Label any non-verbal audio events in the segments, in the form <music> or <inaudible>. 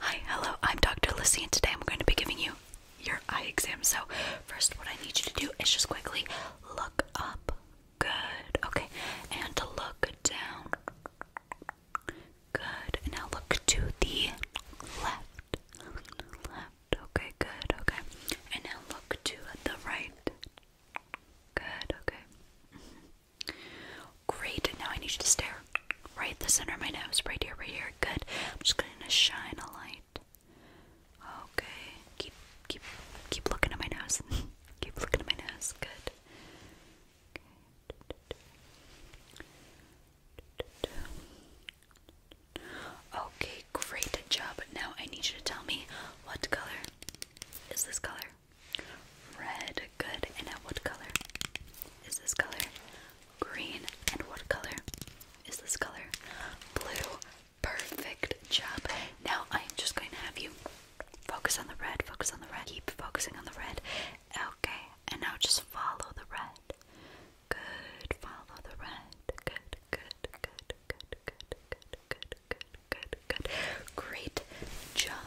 Hi, hello, I'm Dr. Lucy, and today I'm going to be giving you your eye exam. So, first, what I need you to do is just quickly look up. Good, okay, and look down. Good, and now look to the left. Left, okay, good, okay, and now look to the right. Good, okay. Mm-hmm. Great, now I need you to stare right the center of my nose, right here, right here. Good. I'm just gonna shine a light. Okay. Keep keep keep looking at my nose. <laughs> keep looking at my nose. Good. Okay, great job. Now I need you to tell me what color is this color? Red, good. And what color? Is this color? Green. And what color? Is this color? Blue. Perfect job. Now I'm just going to have you focus on the red, focus on the red, keep focusing on the red. Okay. And now just follow the red. Good. Follow the red. Good, good, good, good, good, good, good, good, good, good. Great job.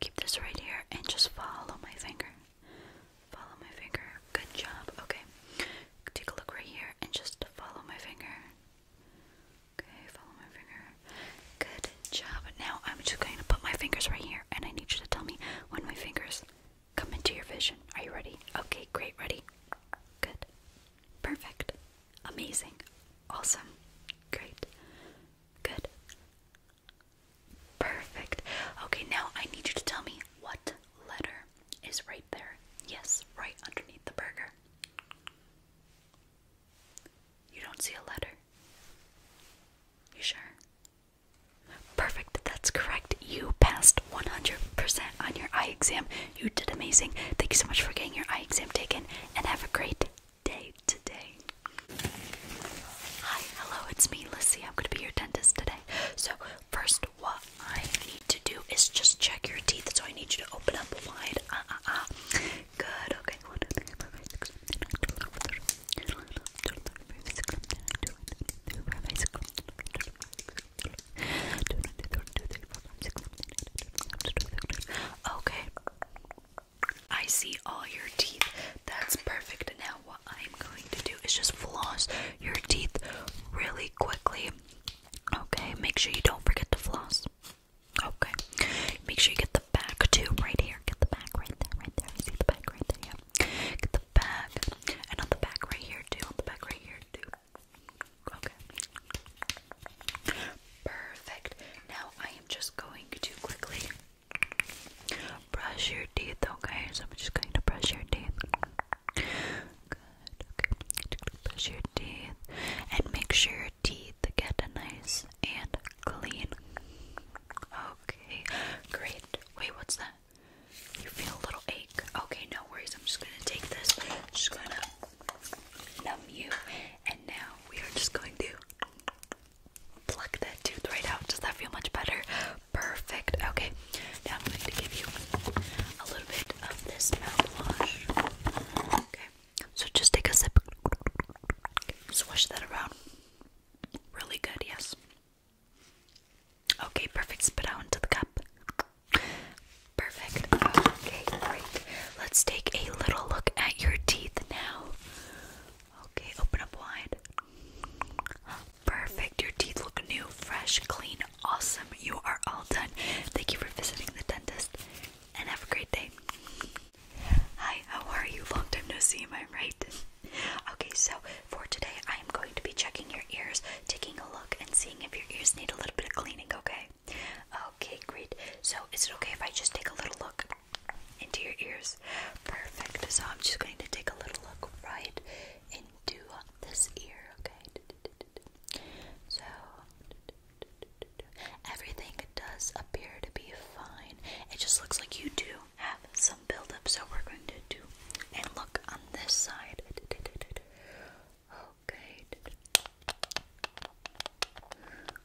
keep this right here and just follow my finger. Follow my finger. Good job. Okay. Take a look right here and just follow my finger. Okay, follow my finger. Good job. Now I'm just going to put my fingers right here and I need you to tell me when my fingers come into your vision. Are you ready? Okay, great. Ready? Good. Perfect. Amazing. Awesome. Great. Good. Perfect. Okay, now I need you to tell me what letter is right there. Yes, right underneath the burger. You don't see a letter. You sure? Perfect. That's correct. You passed 100% on your eye exam. You did amazing. Thank you so much for getting your eye exam taken and have a great today. Hi, hello, it's me, Lissy. I'm gonna be your dentist today. So, first, what I need to do is just check your teeth. So, I need you to open up wide. Uh uh uh. Good, okay. Okay. I see all your teeth. That's perfect. Now, what I'm going to do is just floss your teeth really quickly. Okay, make sure you don't forget to floss. Okay, make sure you get the back too, right here. Get the back right there, right there. see the back right there, yeah. Get the back, and on the back right here too. On the back right here too. Okay. Perfect. Now I am just going to quickly brush your teeth, okay? So I'm just going to brush your teeth. Good, okay. Brush your teeth and make sure your teeth get nice and clean. Okay, great. Wait, what's that? You feel a little ache. Okay, no worries. I'm just gonna take this. I'm just gonna numb you. And now we are just going to pluck that tooth right out. Does that feel much better? Perfect. Okay, now I'm going to give you a little bit of this mouthwash. Okay, so just take a sip, swish that around. Really good, yes. Okay, perfect. Spit out into the cup. Perfect. Okay, great. Let's take a little look at your teeth now. Okay, open up wide. Perfect. Your teeth look new, fresh, clean, awesome. You are all done. Thank you for visiting the dentist and have a great day. Hi, how are you? Long time no see, am I right? Okay, so for today, I am going to be checking your ears, taking a look, and seeing if your ears need a little bit of cleaning, okay? Okay, great. So, is it okay if I just take a little look into your ears? Perfect. So, I'm just going to take a little look right into this ear, okay? So, everything does appear to be fine. It just looks like you do have some buildup, so we're going to do and look on this side. Okay.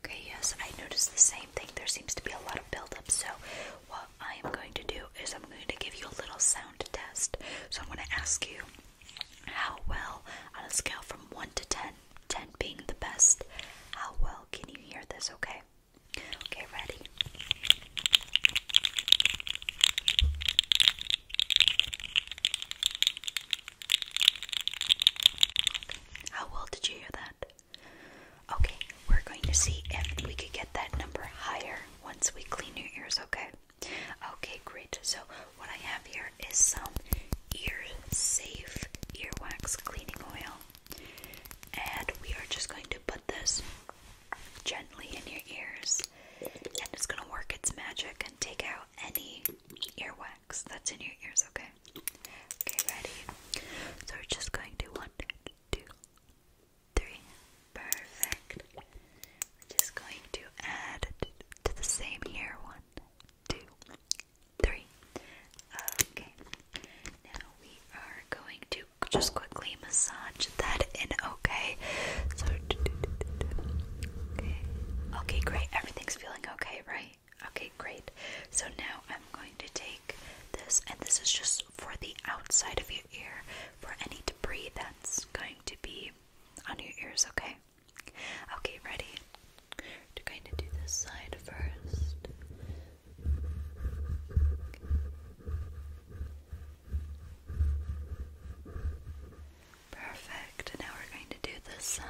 Okay, yes, I noticed the same thing. There seems to be a lot of buildup. So, what I am going to do is I'm going to give you a little sound test. So, I'm going to ask you how well, on a scale from 1 to 10, 10 being the best, how well can you hear this, okay? Okay, ready? How well did you hear that? Okay, we're going to see if we could get that number higher once we clean your ears, okay? Okay, great. So, what I have here is some ear safe earwax cleaning oil, and we are just going to put this gently in your ears, and it's going to work its magic and take out any earwax that's in your ears, okay? Okay, ready? So we're just going to one, two, three. Perfect. We're just going to add to the same here. One, two, three. Okay. Now we are going to just quickly massage that in okay. okay. great. Everything's feeling okay, right? Okay, great. So now I'm going to take this, and this is just for the outside of your ear, for any debris that's going to be on your ears, okay? Okay, ready? To kind of do this side first. Perfect. now we're going to do this side.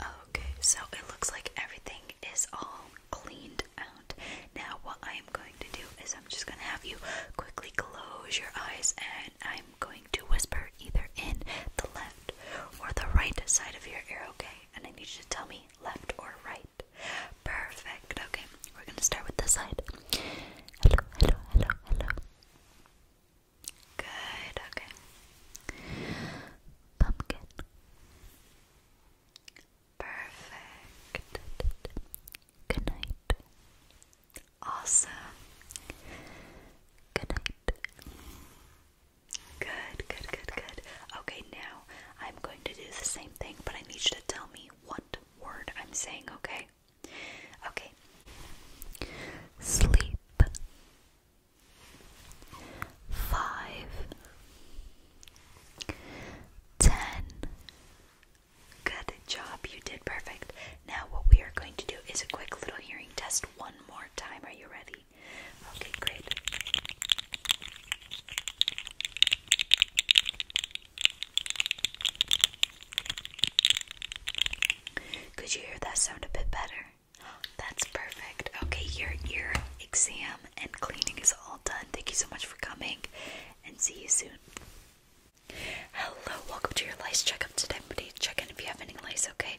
Okay, so it looks like everything is all cleaned out. Now, what I am going to do is I'm just going to have you quickly close your eyes and I'm going to whisper either in the left or the right side of your ear, okay? And I need you to tell me left or right. Perfect, okay. We're gonna start with this side. Hello, hello, hello, hello. Good, okay. Pumpkin. Perfect. Good night. Awesome. Good night. Good, good, good, good. Okay, now I'm going to do the same thing, but I need you to tell me what word I'm saying, okay? Okay. Sleep. Five. Ten. Good job, you did perfect. Now, what we are going to do is a quick little hearing test one more time. Are you ready? Okay, great. Could you hear that sound a bit better? That's perfect. Okay, your ear exam and cleaning is all done. Thank you so much for coming and see you soon. Hello, welcome to your lice checkup today. i check in if you have any lice, okay?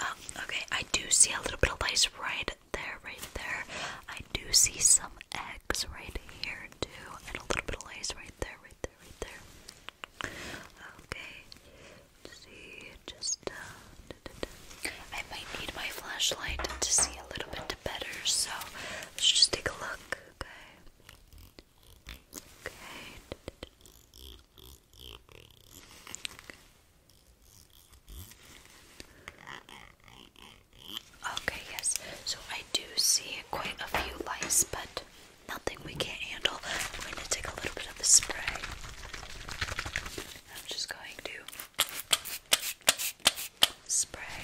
Um, okay, I do see a little bit of lice right there, right there. I do see some eggs right here too, and a little bit of lice right there, right there, right there. Okay, Let's see, just. Uh, da, da, da. I might need my flashlight to see a little bit better, so let's just take a look. Okay. Okay, yes. So I do see quite a few lice, but nothing we can't handle. I'm going to take a little bit of the spray. I'm just going to spray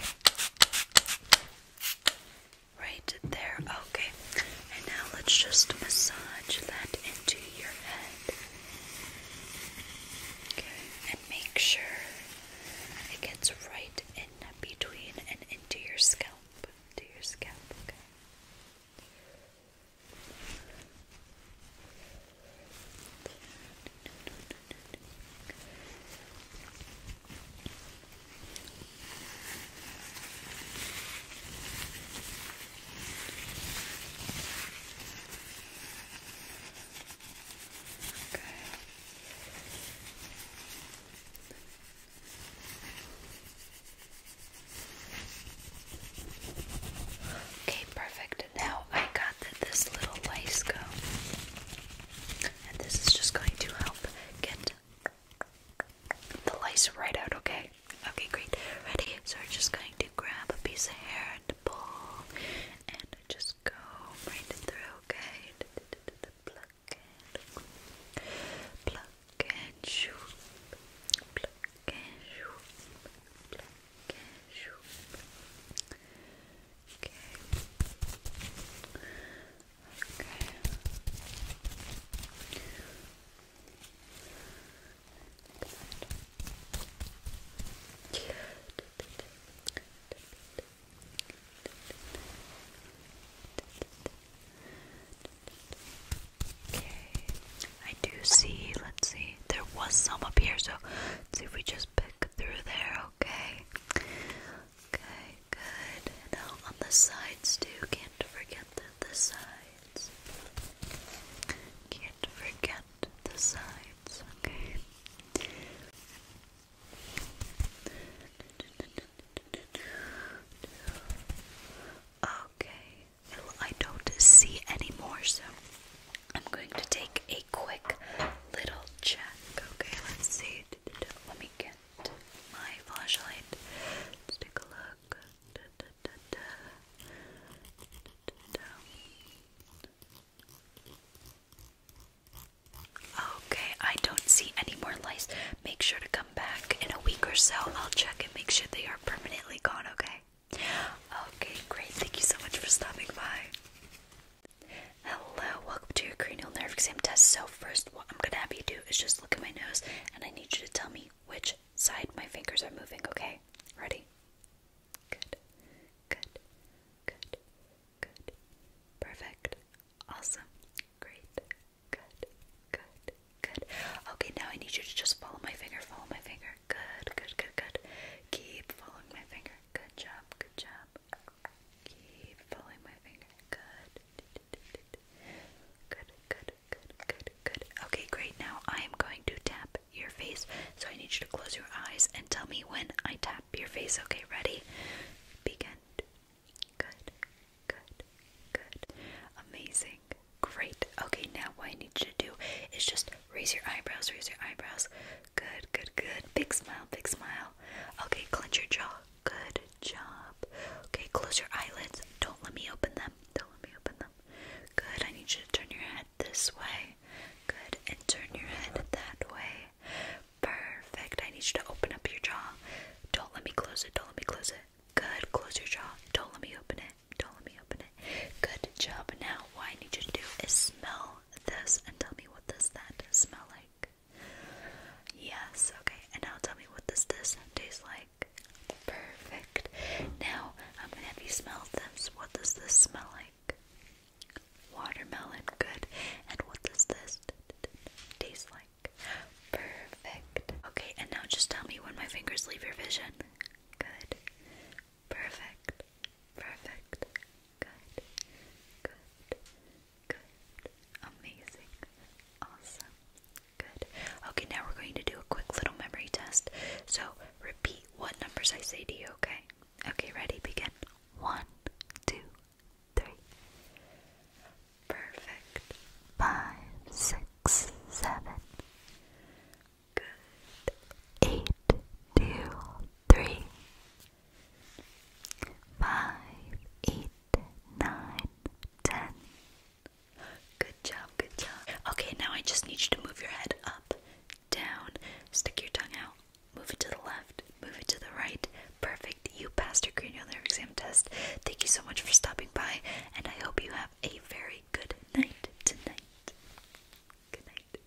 Right there. Okay. And now let's just massage that into your head. And make sure it gets right in between and into your scalp. To your scalp. Okay. Okay. Okay, perfect. Now I got this little lice go, and this is just going to help get the lice right out, okay? Okay, great. Ready? So we're just going to grab a piece of hair and pull and just go right through, okay? pluck and pluck and shoot. Pluck and shoot. Pluck and shoot. Okay. Okay. Okay. I do see, let's see. There was some up here, so see if we just pick through there, okay? Okay, good. And on the sides too. Can't forget the, sides. Can't forget the sides. Okay. Okay. Well, I don't see anymore, so I'm going to take a quick little check. Okay, let's see. Let me get my flashlight. Let's take a look. Okay, I don't see any more lice. Make sure to come back in a week or so. I'll check and make sure they are permanently gone, okay? Okay, great. Thank you so much for stopping by. Hello, welcome to your cranial nerve exam test. So first, what I'm gonna have you do is just look at my nose, and I need you to tell me which side my fingers are moving. Okay, ready? Good, good, good, good, perfect, awesome, great, good, good, good. Okay, now I need you to just follow my finger. Follow my finger. Good, good, good, good. Keep following my finger. Good job. Good job. Keep following my finger. Good. Good, good, good, good, Okay, great. Now I am going to tap your face. So I need you to close your eyes and tell me when I tap your face. Okay, ready? Begin. Good, good, good. Amazing. Great. Okay, now what I need you to do is just raise your eyebrows, raise your eyebrows, Good, good, good. Big smile, big smile. Okay, clench your jaw. Good job. Okay, close your eyelids. Don't let me open them. Don't let me open them. Good. I need you to turn your head this way. Good. And turn your head that way. Perfect. I need you to open up your jaw. Don't let me close it. Don't let me close it. Good. Close your jaw. Don't let me open it. Don't let me open it. Good job. Now, what I need you to do is smell this and tell me what does that smell like. Yes, okay, and now tell me what does this taste like? Perfect. Now I'm gonna have you smell this. What does this smell like? Watermelon, good. And what does this taste like? Perfect. Okay, and now just tell me when my fingers leave your vision. Good. Perfect. Perfect. Good. Good. Good. Amazing. Awesome. Good. Okay, now we're going to do a quick little memory test. So repeat what numbers I say to you, okay? Okay, ready? Begin. One, two, three. Perfect. Five, six, seven. Good. Eight, two, three five, eight, nine, ten. Good job, good job. Okay, now I just need you to move your head up, down, stick your tongue out, move it to the left, move it to the right. Perfect. You passed your cranial exam test. Thank you so much for stopping by, and I hope you have a very good night tonight. Good night.